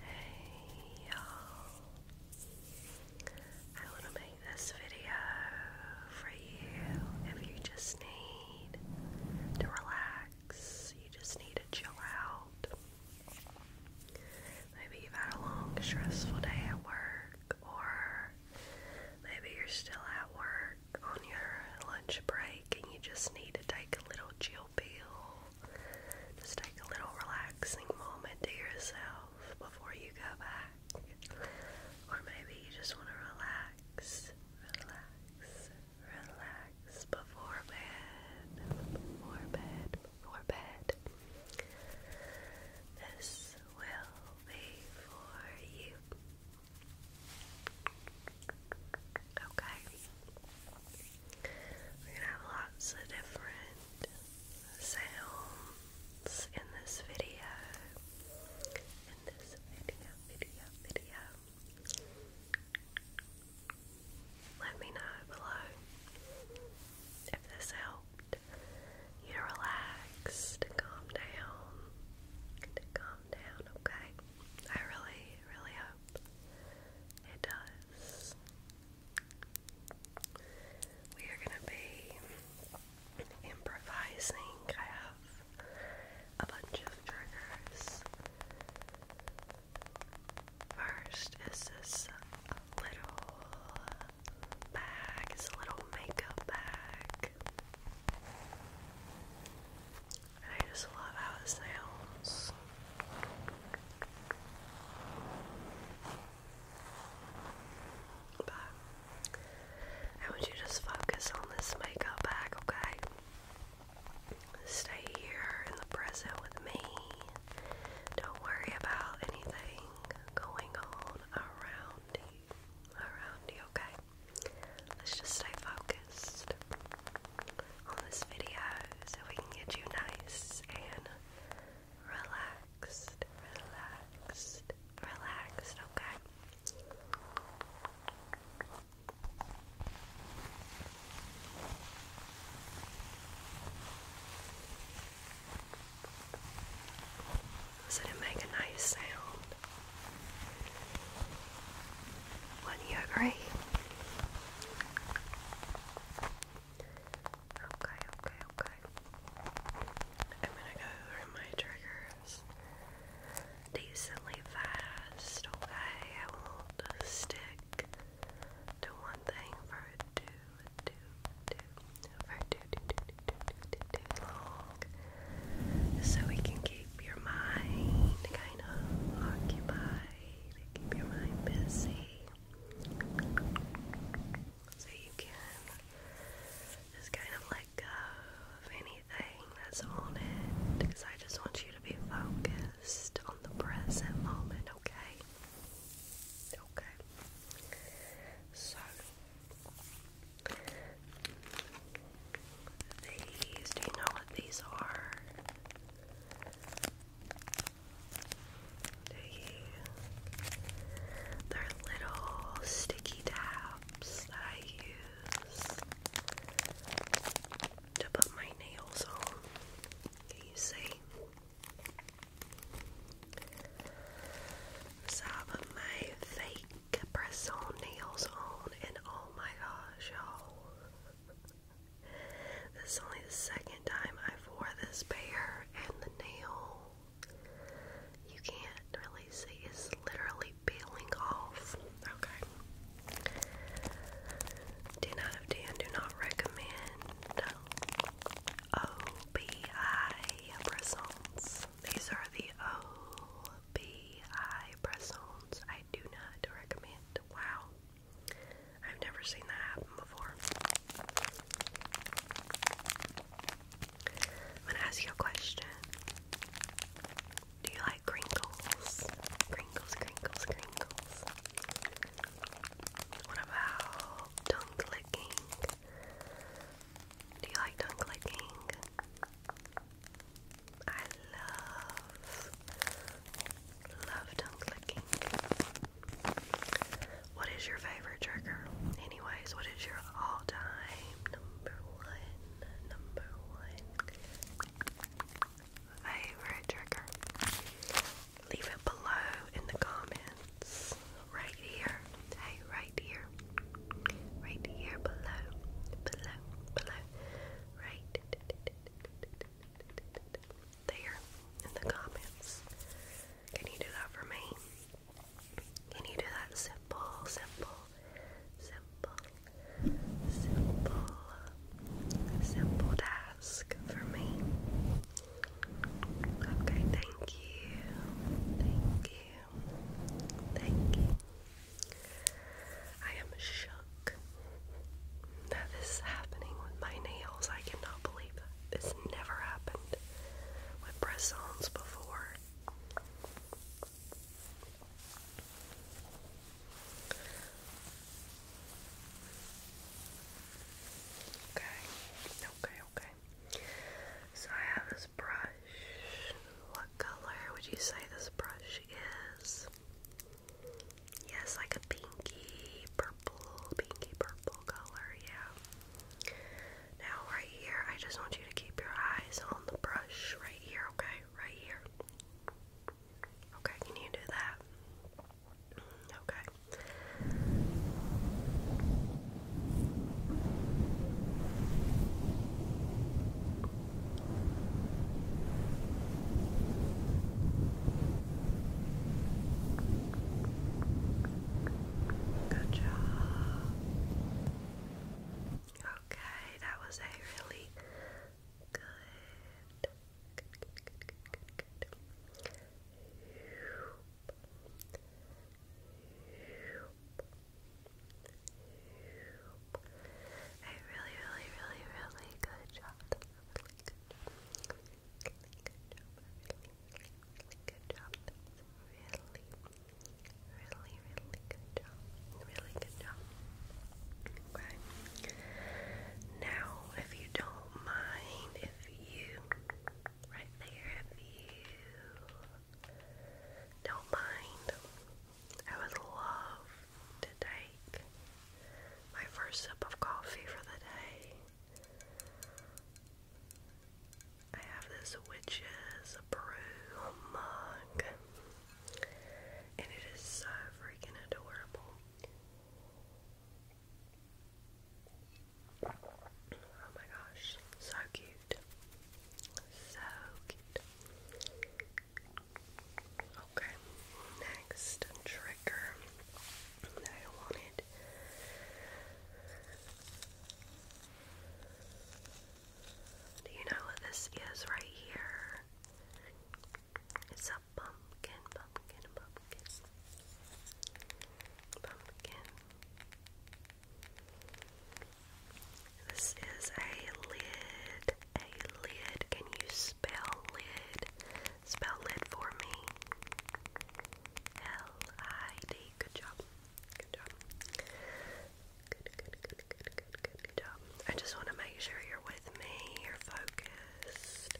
Hey y'all. I want to make this video for you if you just need to relax, you just need to chill out. Maybe you've had a long, stressful day at work, or maybe you're still at work on your lunch break and you just need to take a little chill pill, just take a little relaxing moment to yourself before you go back. Or maybe you just want to relax, relax, relax before bed, before bed, before bed. This will be for you. Okay. We're gonna have lots of different sounds in this video. In this video, video, video. Let me know below if this helped you relax, to calm down, to calm down, okay? I really, really hope up. It does. We are going to be improvising. I have a bunch of triggers. First is this little bag. It's a little makeup bag. I just love how it sounds. But I want you to just focus on this makeup bag, okay? Stay here in the present with me. Don't worry about anything going on around you. Around you, okay? Let's just stay focused on this video so we can get you nice and relaxed, relaxed, relaxed, okay? So to make a nice sound, wouldn't you agree? Okay, okay, okay. I'm gonna go through my triggers decently fast, okay? I won't stick to one thing for too, too, too, for too, too, too, too, too long so we can keep your mind kind of occupied, keep your mind busy, so you can just kind of let go of anything that's on it because I just want you to be focused on the present moment, okay? Okay. So these. Do you know what these are? They're little sticky tabs that I use to put my nails on. Can you see? So I put my fake press nails on, and oh my gosh, y'all. This is only the second time i wore this pair, and the nail, you can't really see, it's literally peeling off. Okay. 10 out of 10, do not recommend OBI press These are the O BI press-ons. I do not recommend. Wow. I've never seen that happen before. I'm gonna ask you a question. Do you like crinkles? Crinkles, crinkles, crinkles. What about tongue clicking? Do you like tongue clicking? I love, love tongue clicking. What is your favorite trigger? Anyways, what is your all time number one, number one favorite trigger? Leave it below in the comments. Right here. Hey, right here. Right here below. Below. Below right there in the comments. Can you do that for me? Can you do that simple, simple, simple, simple, simple task for me? Okay, thank you. Thank you. Thank you. I am shook that this is happening with my nails. I cannot believe This never happened with press ons before. Okay, okay, okay. So I have this brush. What color would you say this brush is yes, like a pinky purple, pinky purple color, yeah. Now right here, I just want you to keep your eyes on the brush right here, okay? Right here. Okay, can you do that? Okay. Good job. Okay, that was a really good. A really, really, really, really good job. good job. good job. Really, really, really good job. Really good job. Okay. Now, if you don't mind, if you right there, if you don't mind. I would love to take my first sip of coffee for the day. I have this witch's brew mug, and it is so freaking adorable. Oh my gosh, so cute. So cute. Okay, next trigger I wanted do you know what this is right here? It's a pumpkin, pumpkin, pumpkin. This is a lid. A lid. Can you spell lid? Spell lid for me. L-I-D. Good job. Good job. Good, good, good, good, good, good, good job. I just want to make sure you're with me. You're focused.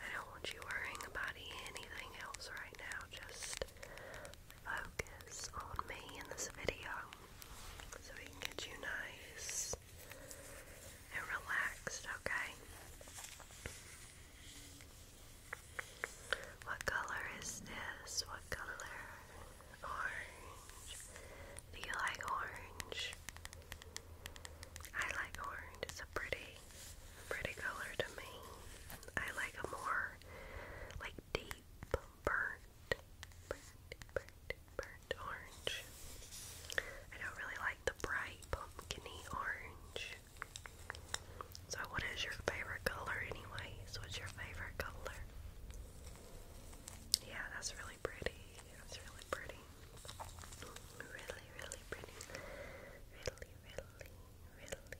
I don't want you worrying about anything else right now. Just focus on me in this video so we can get you nice and relaxed, okay? What color is this? What color? Orange. Do you like orange? I like orange. It's a pretty, pretty color to me. I like a more like deep burnt orange. I don't really like the bright pumpkiny orange. So, what is your favorite color, anyways? What's your favorite color? Yeah, that's really pretty. That's really pretty. Really, really pretty. Really, really, really, really.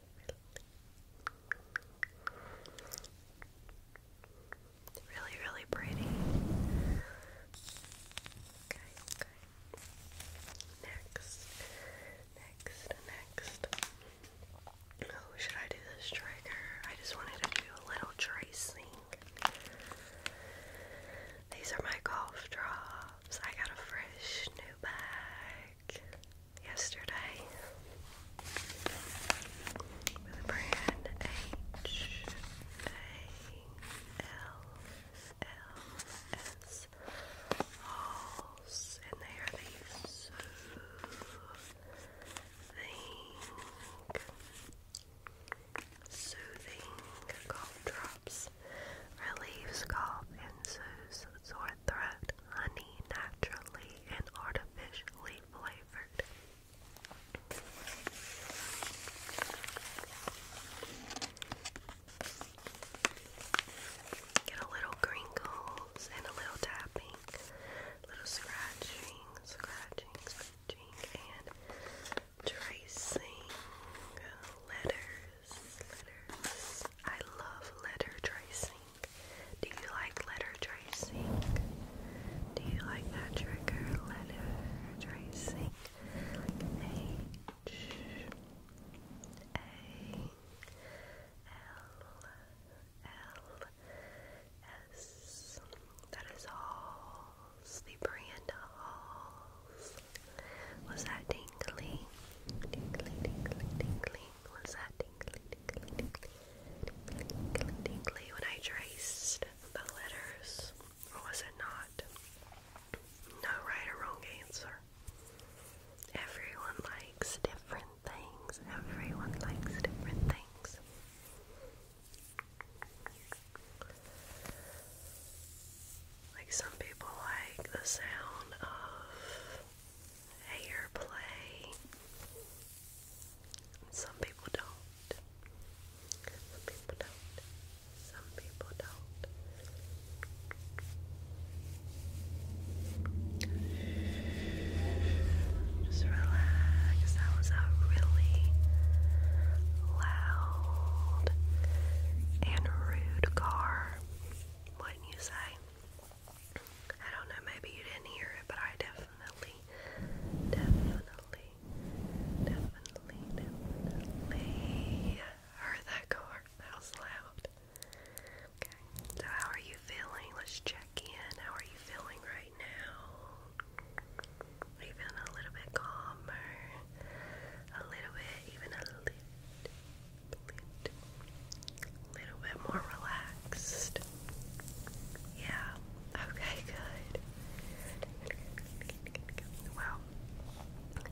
Really, really pretty. Okay, okay. Next, next, next. Oh, should I do this trigger? I just wanted to do a little tracing. These are my golf drops. I got a fresh new bag yesterday with brand H A L L S and they are these soothing, soothing cough drops. Relieves cough soothes sore throat. Honey naturally and officially flavored. Get a little crinkles and a little tapping, little scratching, scratching, scratching, and tracing letters. I love letter tracing. Do you like letter tracing? Do you like that trigger letter tracing? Like L S. That is all the brand halls. Was that tingly. Was that tingly, tingly, tingly, tingly, tingly, tingly when I traced the letters? Or was it not? No right or wrong answer. Everyone likes different things. Everyone likes different things. Like some people like the sound of hair Some people don't. Some people don't. Some people don't. Just relax. That was a really loud and rude car. Wouldn't you say? I don't know, maybe you didn't hear it, but I definitely, definitely, definitely, definitely heard that car. That was loud. Okay, so how are you feeling? Let's check in. How are you feeling right now? Are you feeling a little bit calmer? A little bit, even a little a little bit more relaxed. Yeah. Okay, good. Well,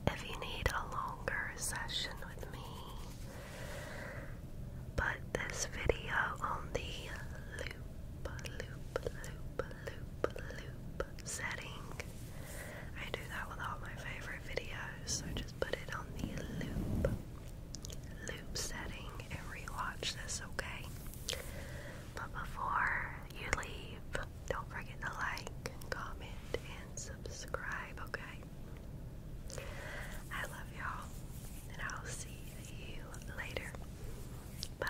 if you need a longer session with me, put this video on the loop, loop, loop, loop, loop setting. I do that with all my favorite videos, so just put it on the loop loop setting and rewatch this, okay? But before you leave, don't forget to like, comment, and subscribe, okay? I love y'all, and I'll see you later. Bye.